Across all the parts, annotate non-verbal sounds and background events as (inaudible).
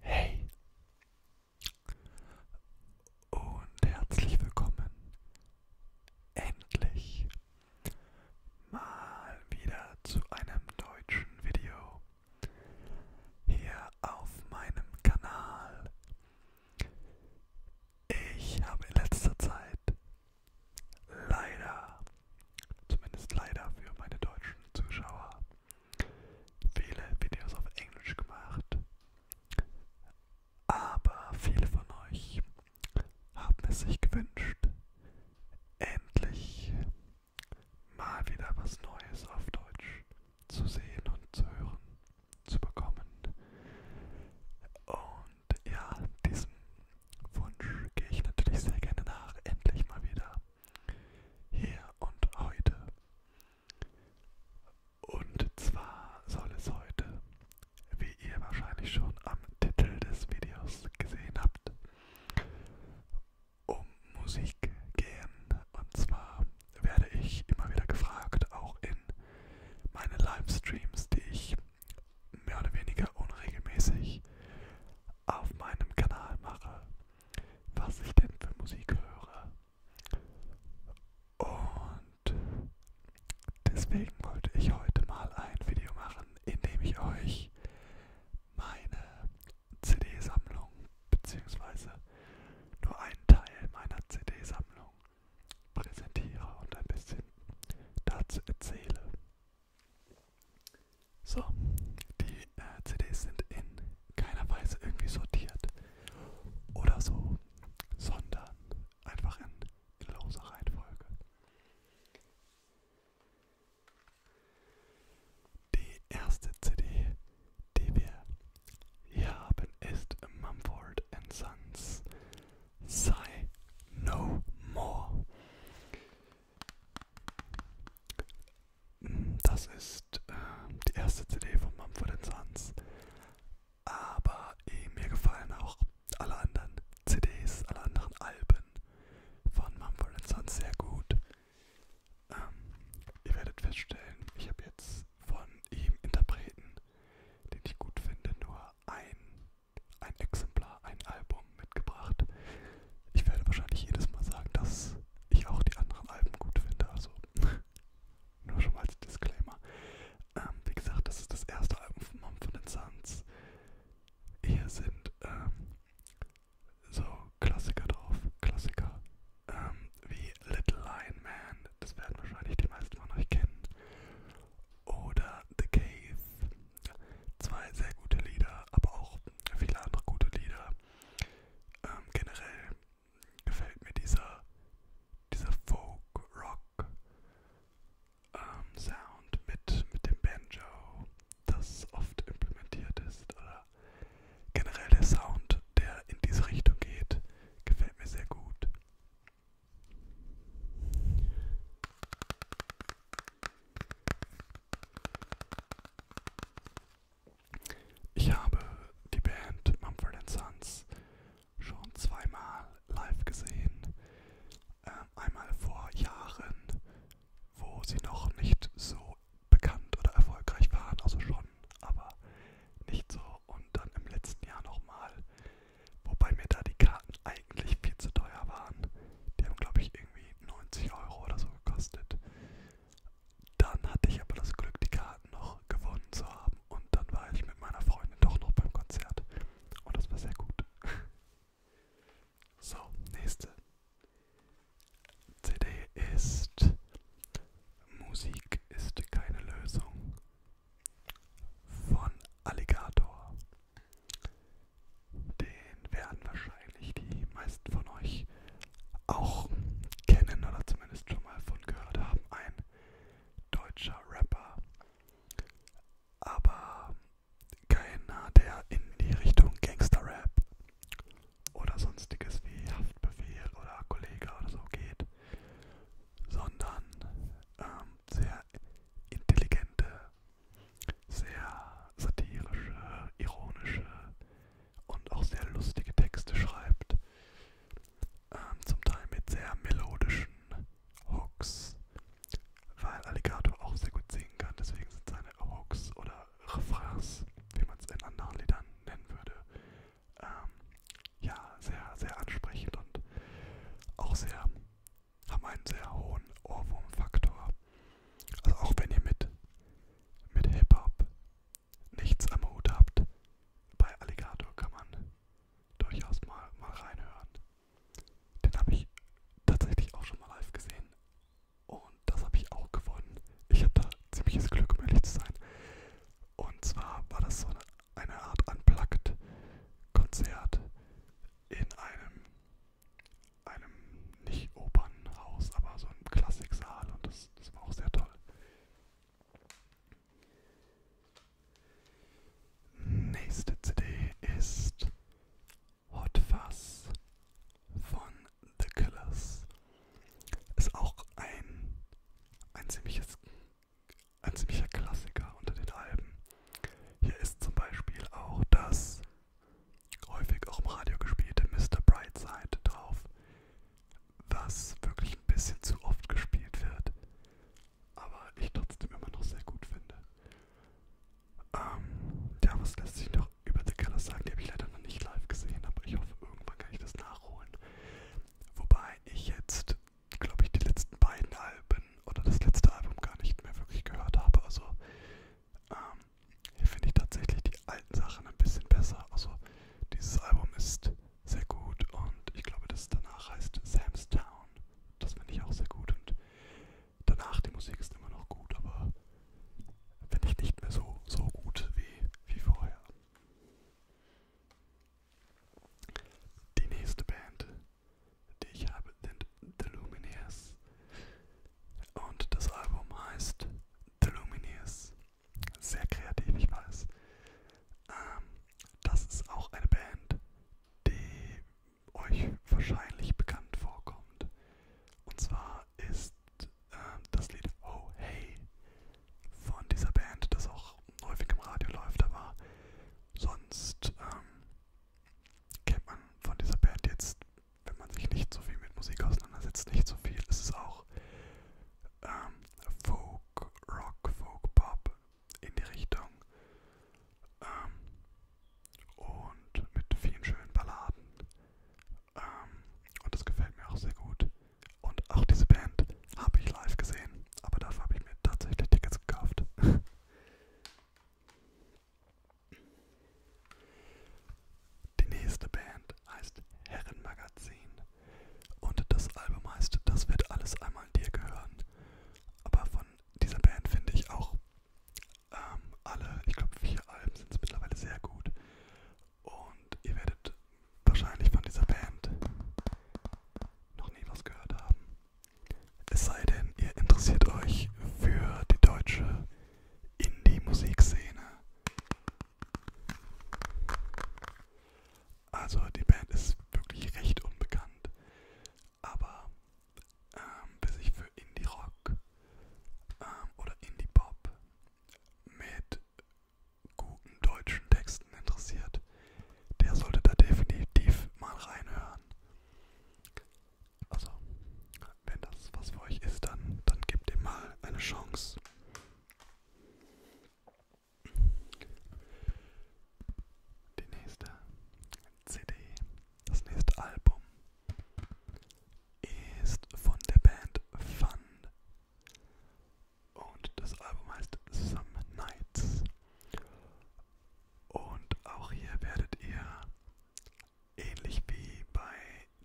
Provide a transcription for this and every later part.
Hey und herzlich willkommen. Endlich mal wieder zu einem deutschen Video hier auf meinem Kanal. Ich habe in letzter Zeit leider, zumindest leider für meine deutschen Zuschauer, viele Videos auf Englisch gemacht, aber viele von euch haben es sich gewünscht, endlich mal wieder was Neues auf Deutsch zu sehen und zu hören, zu bekommen. Und ja, diesem Wunsch gehe ich natürlich sehr gerne nach, endlich mal wieder hier und heute. Und zwar soll es heute, wie ihr wahrscheinlich schon am Titel des Videos gesehen habt, um Musik gehen. Und zwar werde ich immer wieder gefragt, auch in meinen Livestreams, die ich mehr oder weniger unregelmäßig auf meinem Kanal mache was ich denn für Musik höre. Und deswegen wollte ich heute mal ein Video machen, in dem ich euch meine CD-Sammlung beziehungsweise nur einen Teil meiner CD-Sammlung präsentiere und ein bisschen dazu erzähle. So, die äh, CDs sind in keiner Weise irgendwie sortiert oder so, sondern einfach in, in loser Reihenfolge. Die erste CD, die wir hier haben, ist Mumford Sons Say No More. Das ist äh, die erste CD von Mumford Sons. Aber eh, mir gefallen auch alle anderen CDs, alle anderen Alben von Mumford Sons sehr gut. Ähm, ihr werdet feststellen, ich habe jetzt von ihm Interpreten, den ich gut finde, nur ein, ein Exemplar, ein Album mitgebracht. Ich werde wahrscheinlich jedes Mal sagen, dass ich auch die anderen Alben gut finde. Also (laughs) nur schon mal als Disclaimer. Ähm, wie gesagt, das ist das erste Album von Mom von den Suns. Hier sind ähm, so Klassiker drauf. Klassiker ähm, wie Little Lion Man. Das werden wahrscheinlich die meisten von euch kennen. Oder The Cave. Zwei sehr gute Lieder, aber auch viele andere gute Lieder. Ähm, generell gefällt mir dieser, dieser Folk-Rock-Sound ähm, mit, mit dem Banjo, das oft implementiert ist. Oder generell der Sound, der in diese Richtung geht, gefällt mir sehr gut. Ich habe die Band Mumford Sons schon zweimal live gesehen. Ähm, einmal vor Jahren, wo sie noch nicht so bekannt oder erfolgreich waren, also schon, aber nicht so. Und dann im letzten Jahr nochmal, wobei mir da die Karten eigentlich viel zu teuer waren. Die haben, glaube ich, irgendwie 90 Euro oder so gekostet. Dann hatte ich aber das Glück, die Karten noch gewonnen zu haben. Und dann war ich mit meiner Freundin doch noch beim Konzert. Und das war sehr gut. So, nächste CD ist Musik ist keine Lösung von Alligator. Den den werden wahrscheinlich die meisten von euch auch kennen oder zumindest schon mal von gehört haben. Ein deutscher Rapper, aber keiner, der in die Richtung Gangster-Rap oder sonstiges wie Haftbefehl oder Kollege oder so geht, sondern ähm, sehr intelligente, sehr satirische, ironische, und auch sehr lustige Texte schreibt. Ähm, zum Teil mit sehr melodischen Hooks, weil Alligator auch sehr gut singen kann, deswegen sind seine Hooks oder Refrains, wie man es in anderen Liedern nennen würde, ähm, ja, sehr, sehr ansprechend und auch sehr, haben einen sehr hohen Ohrwurmfaktor. Also auch wenn ihr mit mit Hip-Hop nichts am Hut habt, bei Alligator kann man durchaus mal, mal reinhören. Den habe ich tatsächlich auch schon mal live gesehen und das habe ich auch gewonnen. Ich habe da ziemliches Glück, um ehrlich zu sein. Und zwar war das so eine, eine Art Unplugged-Konzert in einem einem nicht Opernhaus, aber so einem Klassiksaal und das, das war auch sehr toll. Nächste CD ist Hot Fuzz von The Killers. Ist auch ein, ein, ziemliches, ein ziemlicher Klassiker unter den Alben. Hier ist zum Beispiel auch das häufig auch im Radio gespielte Mr. Brightside drauf, was wirklich ein bisschen zu oft gespielt wird, aber ich trotzdem immer noch sehr gut finde. Ähm, ja, was lässt sich noch über The Killers sagen? Die habe ich leider noch nicht live gesehen, aber ich hoffe, irgendwann kann ich das nachholen. Wobei ich jetzt, glaube ich, die letzten beiden Alben oder das letzte Album gar nicht mehr wirklich gehört habe. Also ähm, hier finde ich tatsächlich die alten Sachen ein bisschen besser. Also dieses Album ist sehr gut und ich glaube, das danach heißt Sam's Town. Das finde ich auch sehr gut und danach die Musik ist immer noch gut, aber finde ich nicht mehr so, so gut wie, wie vorher. Die nächste Band, die ich habe, sind The Lumineers. Und das Album heißt The Lumineers. Sehr kreativ, ich weiß. Ähm, das ist auch eine Band, die euch wahrscheinlich bekannt vorkommt. Und zwar ist ähm, das Lied Oh Hey von dieser Band, das auch häufig im Radio läuft, aber sonst ähm, kennt man von dieser Band jetzt wenn man sich nicht so viel mit Musik auseinandersetzt, nicht so viel, ist es auch ähm, Folk, Rock, Folk, Pop in die Richtung. Ähm, und mit vielen schönen Balladen. Ähm, und das gefällt mir auch sehr gut. Und auch diese Band habe ich live gesehen, aber dafür habe ich mir tatsächlich Tickets gekauft. (laughs) Die nächste Band heißt Herrenmagazin und das Album heißt Das wird alles einmal dir gehören. Aber von dieser Band finde ich auch ähm, alle, ich glaube vier Alben sind es mittlerweile sehr gut. Und ihr werdet wahrscheinlich von dieser Band noch nie was gehört haben. Es sei denn, ihr interessiert euch für die deutsche Indie-Musikszene. Also die Band ist wirklich recht unbekannt, aber ähm, will sich für Indie-Rock ähm, oder Indie-Pop mit guten deutschen Texten interessiert, der sollte da definitiv mal reinhören. Also, wenn das was für euch ist, dann, dann gebt ihm mal eine Chance. Die nächste CD, das nächste Album ist von der Band Fun. Und das Album heißt Some Nights. Und auch hier werdet ihr ähnlich wie bei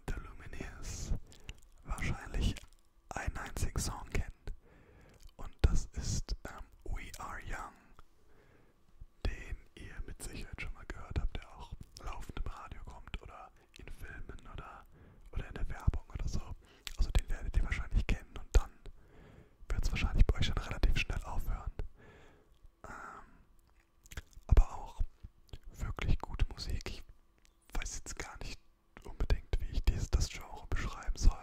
The Lumineers wahrscheinlich einen einzigen Song kennt. Und das ist ähm, We Are Young, den ihr mit Sicherheit schon mal gehört habt, der auch laufend im Radio kommt oder in Filmen oder, oder in der Werbung oder so. Also den werdet ihr wahrscheinlich kennen und dann wird es wahrscheinlich bei euch schon relativ schnell aufhören. Ähm, aber auch wirklich gute Musik. Ich weiß jetzt gar nicht unbedingt, wie ich dieses, das Genre beschreiben soll.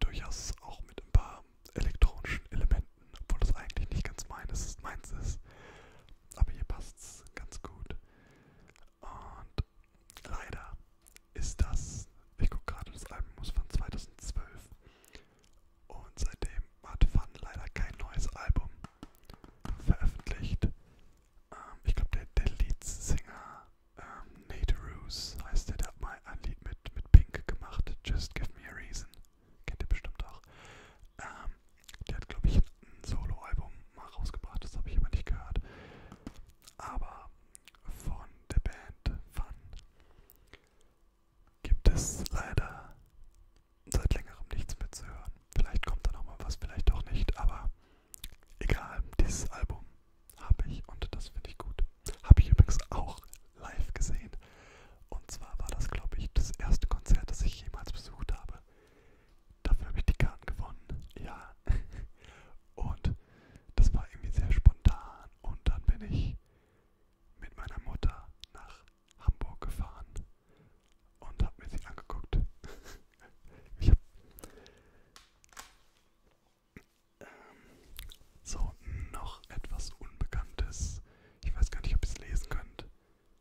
Durchaus auch mit ein paar elektronischen Elementen, obwohl das eigentlich nicht ganz meines, meins ist. Aber hier passt es ganz gut. Und leider ist das, ich gucke gerade, das Album muss von 2012. Und seitdem hat Fun leider kein neues Album veröffentlicht. Ähm, ich glaube, der, der Leadsinger ähm, Nate Roos heißt der, der hat mal ein Lied mit, mit Pink gemacht, Just Give Me a Reason. Kennt ihr bestimmt auch. Ähm, der hat, glaube ich, ein Solo-Album mal rausgebracht, das habe ich aber nicht gehört. Aber von der Band Fun gibt es leider seit längerem nichts mehr zu hören. Vielleicht kommt da nochmal was, vielleicht auch nicht, aber egal, dieses Album habe ich und das finde ich gut. Habe ich übrigens auch live gesehen. Und zwar war das, glaube ich, das erste Konzert, das ich jemals besucht habe. Dafür habe ich die Karten gewonnen. Ja. (laughs) Und das war irgendwie sehr spontan. Und dann bin ich mit meiner Mutter nach Hamburg gefahren und habe mir sie angeguckt. (laughs) ich hab ähm, so, noch etwas Unbekanntes. Ich weiß gar nicht, ob ihr es lesen könnt.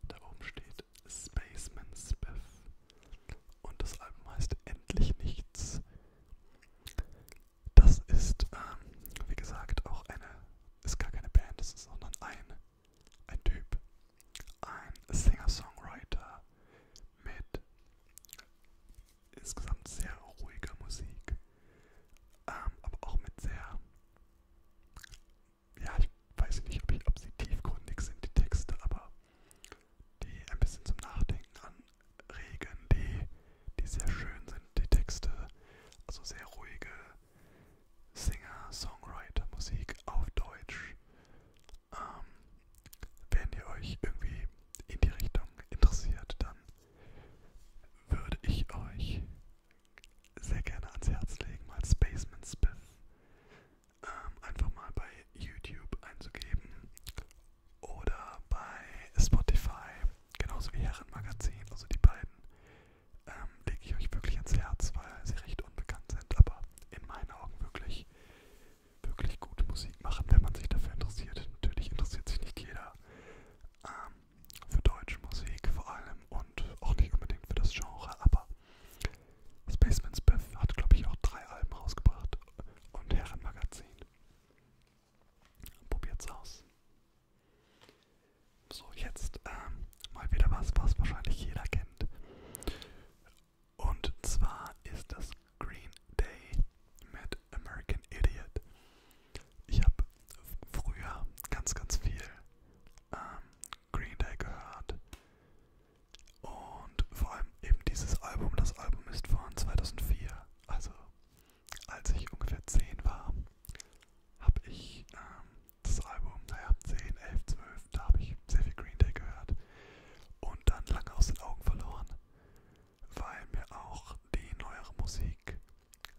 Da oben steht Spaceman Spiff. Und das Album heißt Endlich Nichts. Das ist, ähm, wie gesagt, auch eine, ist gar keine Band, das ist sondern ein ein Typ, ein Singer-Songwriter mit insgesamt sehr ruhiger Musik, ähm, aber auch mit sehr, ja, ich weiß nicht, ob, ich, ob sie tiefgründig sind, die Texte, aber die ein bisschen zum Nachdenken anregen, die, die sehr schön sind, die Texte, also sehr ruhige, Singer-Songwriter-Musik auf Deutsch. Ähm, wenn ihr euch irgendwie in die Richtung interessiert, dann würde ich euch sehr gerne ans Herz legen, mal Spaceman Spiff ähm, einfach mal bei YouTube einzugeben oder bei Spotify, genauso wie Herrenmagazin, also die beiden ähm, lege ich euch wirklich ans Herz, weil sie recht unbekannt sind, aber in meinen Augen wirklich, wirklich gute Musik machen, wenn man sich dafür interessiert. Natürlich interessiert sich nicht jeder ähm, für deutsche Musik vor allem und auch nicht unbedingt für das Genre, aber Spaceman Biff hat, glaube ich, auch drei Alben rausgebracht und Herrenmagazin. Probiert's aus. So, jetzt ähm, mal wieder was, was wahrscheinlich jeder kennt. Und zwar ist das Green Day mit American Idiot. Ich habe früher ganz, ganz viel ähm, Green Day gehört. Und vor allem eben dieses Album. Das Album ist von 2004. Also als ich ungefähr 10 war, habe ich ähm, das Album, naja, 10, 11, 12, da habe ich sehr viel Green Day gehört und dann lange aus den Augen verloren, weil mir auch die neuere Musik,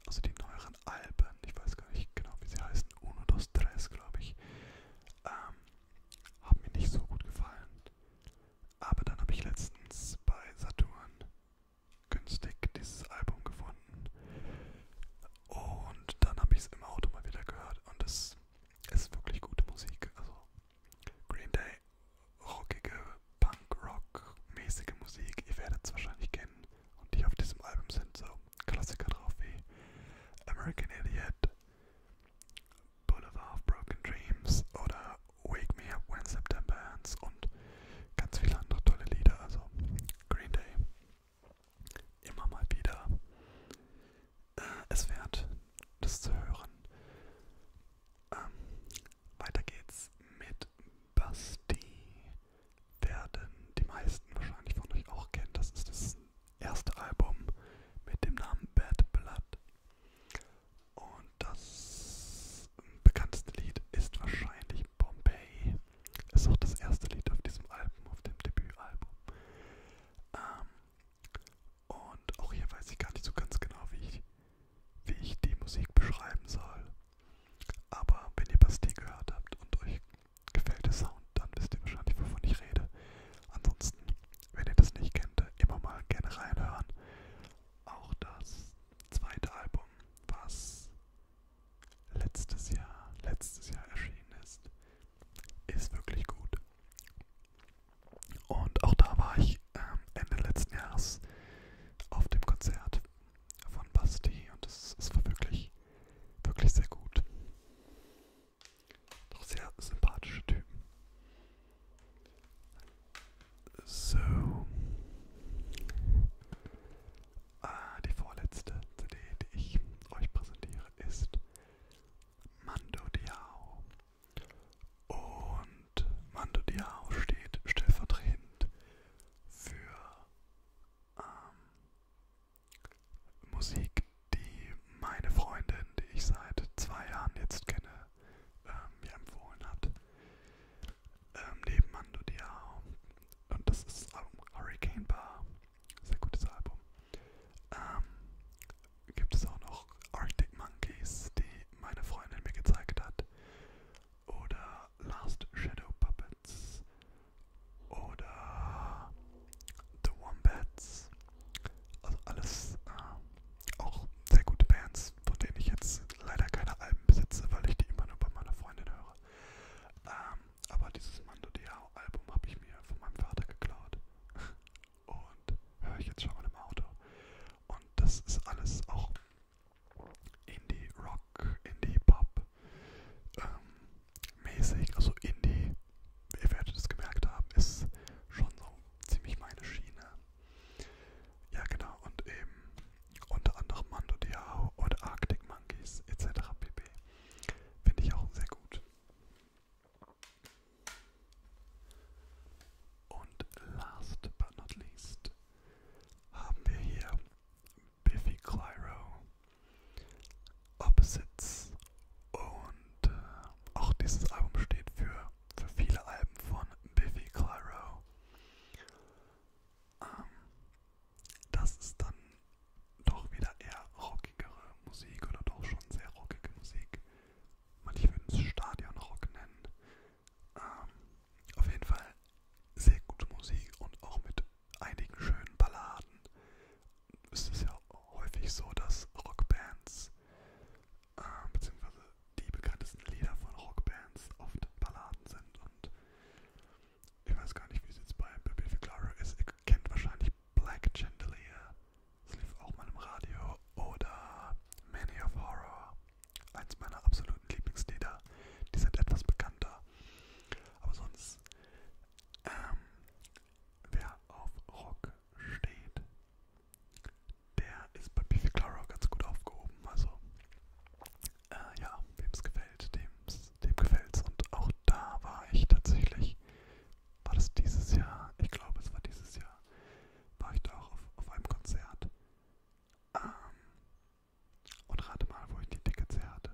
also die neueren Alben, ich weiß gar nicht genau, wie sie heißen, Uno, Dos, Tres, glaube ich, ähm, haben mir nicht so gut gefallen. Aber dann habe ich letztens bei Saturn günstig dieses Album gefunden und dann habe ich es im Auto mal wieder gehört und es ist wirklich gute Musik. Also Green Day, rockige, Punk-Rock-mäßige Musik, ihr werdet es wahrscheinlich kennen. Und die auf diesem Album sind so Klassiker drauf wie American Idiot, Boulevard of Broken Dreams oder Wake Me Up When September Ends und ganz viele andere tolle Lieder. Also Green Day, immer mal wieder äh, es wert, das zu hören. Ähm, weiter geht's mit Basti, werden die meisten wahrscheinlich von euch auch kennen. Das ist das erste Album mit dem Namen Bad Blood. Und das bekannteste Lied ist wahrscheinlich Lieben Pompeii ist auch das erste Lied auf diesem Album, auf dem Debütalbum. Ähm, und auch hier weiß ich gar nicht so ganz genau, wie ich, wie ich die Musik beschreiben soll. Aber wenn ihr Bastille gehört habt und euch gefällt der Sound, dann wisst ihr wahrscheinlich, wovon ich rede. Ansonsten, wenn ihr das nicht kennt, immer mal gerne reinhören. Auch das zweite Album, was letztes Jahr, letztes Jahr erschienen ist, ist wirklich gut. Und auch da war ich ähm, Ende letzten Jahres auf dem Konzert von Basti und es, es war wirklich, wirklich sehr gut. Doch sehr sympathische Typen. So. Äh, die vorletzte CD, die ich euch präsentiere, ist Mando Diao. Und Mando Diao steht stellvertretend für ähm, Musik, die meine Freundin, die ich seit zwei Jahren jetzt kenne, äh, mir empfohlen hat ähm, neben Mando Diao. Und das ist das Album Hurricane Bar. Sehr gutes Album. Ähm, gibt es auch noch Arctic Monkeys, die meine Freundin mir gezeigt hat. Oder Last Shadow Puppets. Oder The Wombats. Also alles äh, auch sehr gute Bands, von denen ich jetzt leider keine Alben besitze, weil ich die immer nur bei meiner Freundin höre. Ähm, aber dieses Mando Diao Album habe ich mir von meinem Vater geklaut. (laughs) Und höre ich jetzt schon mal im Auto. Und das ist alles auch Indie Rock, Indie Pop ähm, mäßig. Also Indie, ihr werdet es gemerkt haben, ist schon so ziemlich meine Schiene. Ja genau, und eben unter anderem Mando Diao oder Arctic Monkeys etc. pp. Finde ich auch sehr gut. Und last but not least haben wir hier Biffy Clyro, Opposites und äh, auch dieses Album steht für, für viele Alben von Biffy Clyro. Ähm, das ist dann doch wieder eher rockigere Musik oder doch schon sehr rockige Musik. Manche würden es Stadionrock nennen. Ähm, auf jeden Fall sehr gute Musik und auch mit einigen schönen Balladen. Es ist ja häufig so, dass Rockbands, äh, beziehungsweise die bekanntesten Lieder von Rockbands oft Balladen sind und ich weiß gar nicht, wie es jetzt bei Baby Ficlaro ist. Ihr kennt wahrscheinlich Black Chandelier. Das lief auch mal im Radio. Oder Many of Horror. Eins meiner absoluten Lieblingslieder. Die sind etwas bekannter. Aber sonst, ähm, wer auf Rock steht, der ist bei Biffy Clara ganz gut aufgehoben. Also, äh, ja, wem es gefällt, dem's, dem gefällt es. Und auch da war ich tatsächlich, war das dieses Jahr, ich glaube es war dieses Jahr, war ich da auch auf, auf einem Konzert. Ähm, und rate mal, wo ich die Tickets her hatte.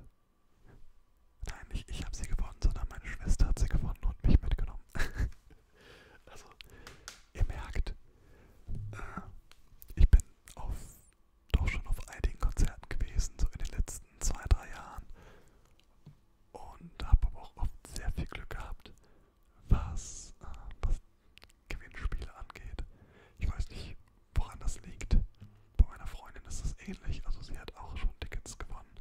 Nein, nicht ich habe sie gewonnen, sondern meine Schwester hat sie gewonnen und mich mitgenommen. (laughs) also, ihr merkt, äh, ich bin auf doch schon auf einigen Konzerten gewesen, so in den letzten zwei, drei Jahren. Und habe aber auch oft sehr viel Glück gehabt, was, äh, was Gewinnspiele angeht. Ich weiß nicht, woran das liegt. Bei meiner Freundin ist es ähnlich. Also sie hat auch schon Tickets gewonnen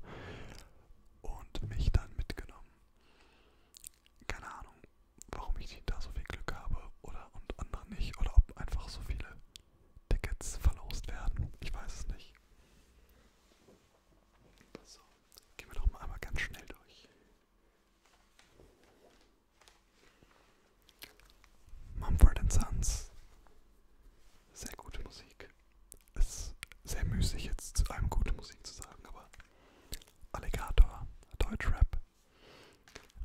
und mich dann mitgenommen. Keine Ahnung, warum ich da so viel Glück habe oder und andere nicht. Oder ob einfach so viele Tickets verlost werden. Ich weiß es nicht. So, gehen wir noch mal einmal ganz schnell durch. Mumford Sons. Sehr gute Musik. Es ist sehr müßig jetzt zu allem gute Musik zu sagen, aber Alligator, Deutschrap,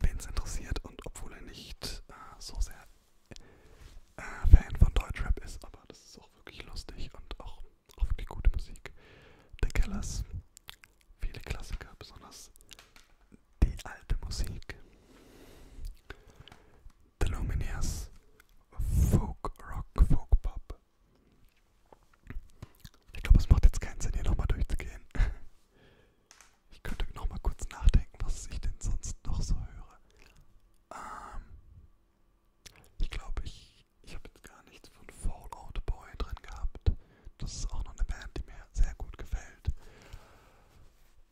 wen es interessiert und obwohl er nicht äh, so sehr äh, Fan von Deutschrap ist, aber das ist auch wirklich lustig und auch, auch wirklich gute Musik. The Killers, viele Klassiker, besonders die alte Musik. The Lumineers, Folk Rock, Folk Pop. Ich glaube, es macht jetzt keinen Sinn, hier nochmal durchzugehen. (laughs) Ich könnte noch mal kurz nachdenken, was ich denn sonst noch so höre. Ähm, ich glaube, ich, ich habe jetzt gar nichts von Fallout Boy drin gehabt. Das ist auch noch eine Band, die mir sehr gut gefällt.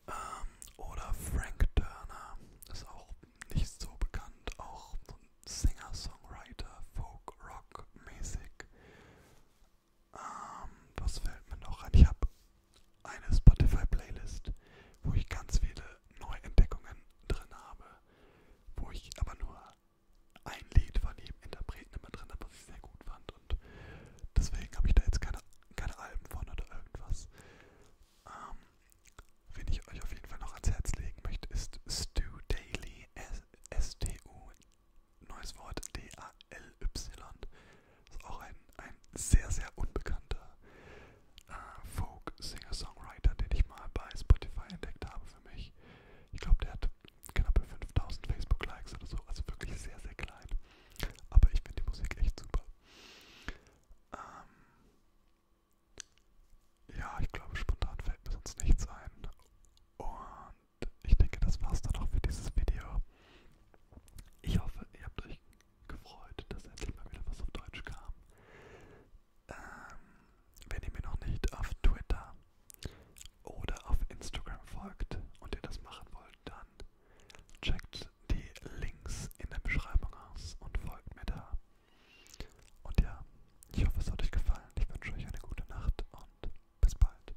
Ähm, oder Frank Turner ist auch nicht so bekannt, auch so ein Singer-Songwriter, Folk-Rock-mäßig. Ähm, was fällt mir noch ein? Ich habe eine Spotify-Playlist, wo ich ganz viele Neuentdeckungen drin habe, wo ich aber nur ein Lied von jedem Interpreten immer drin habe, was ich sehr gut fand. Und deswegen habe ich da jetzt keine, keine Alben von oder irgendwas. Ähm, wen ich euch auf jeden Fall noch ans Herz legen möchte, ist Stu Daily, S-T-U neues Wort, D-A-L-Y. Ist auch ein, ein sehr, sehr unbekannter äh, Folk-Singer-Songwriter, den ich mal bei Spotify entdeckt habe für mich. Ich glaube, der hat knappe 5000 Facebook-Likes oder so, also wirklich sehr, sehr klein. Aber ich finde die Musik echt super. Ähm ja, ich glaube, spontan fällt mir sonst nichts ein. Und ich denke, das war's dann auch für dieses Video. Ich hoffe, ihr habt euch gefreut, dass endlich mal wieder was auf Deutsch kam. Ähm, wenn ihr mir noch nicht auf Twitter oder auf Instagram folgt und ihr das machen wollt, dann checkt die Links in der Beschreibung aus und folgt mir da. Und ja, ich hoffe, es hat euch gefallen. Ich wünsche euch eine gute Nacht und bis bald.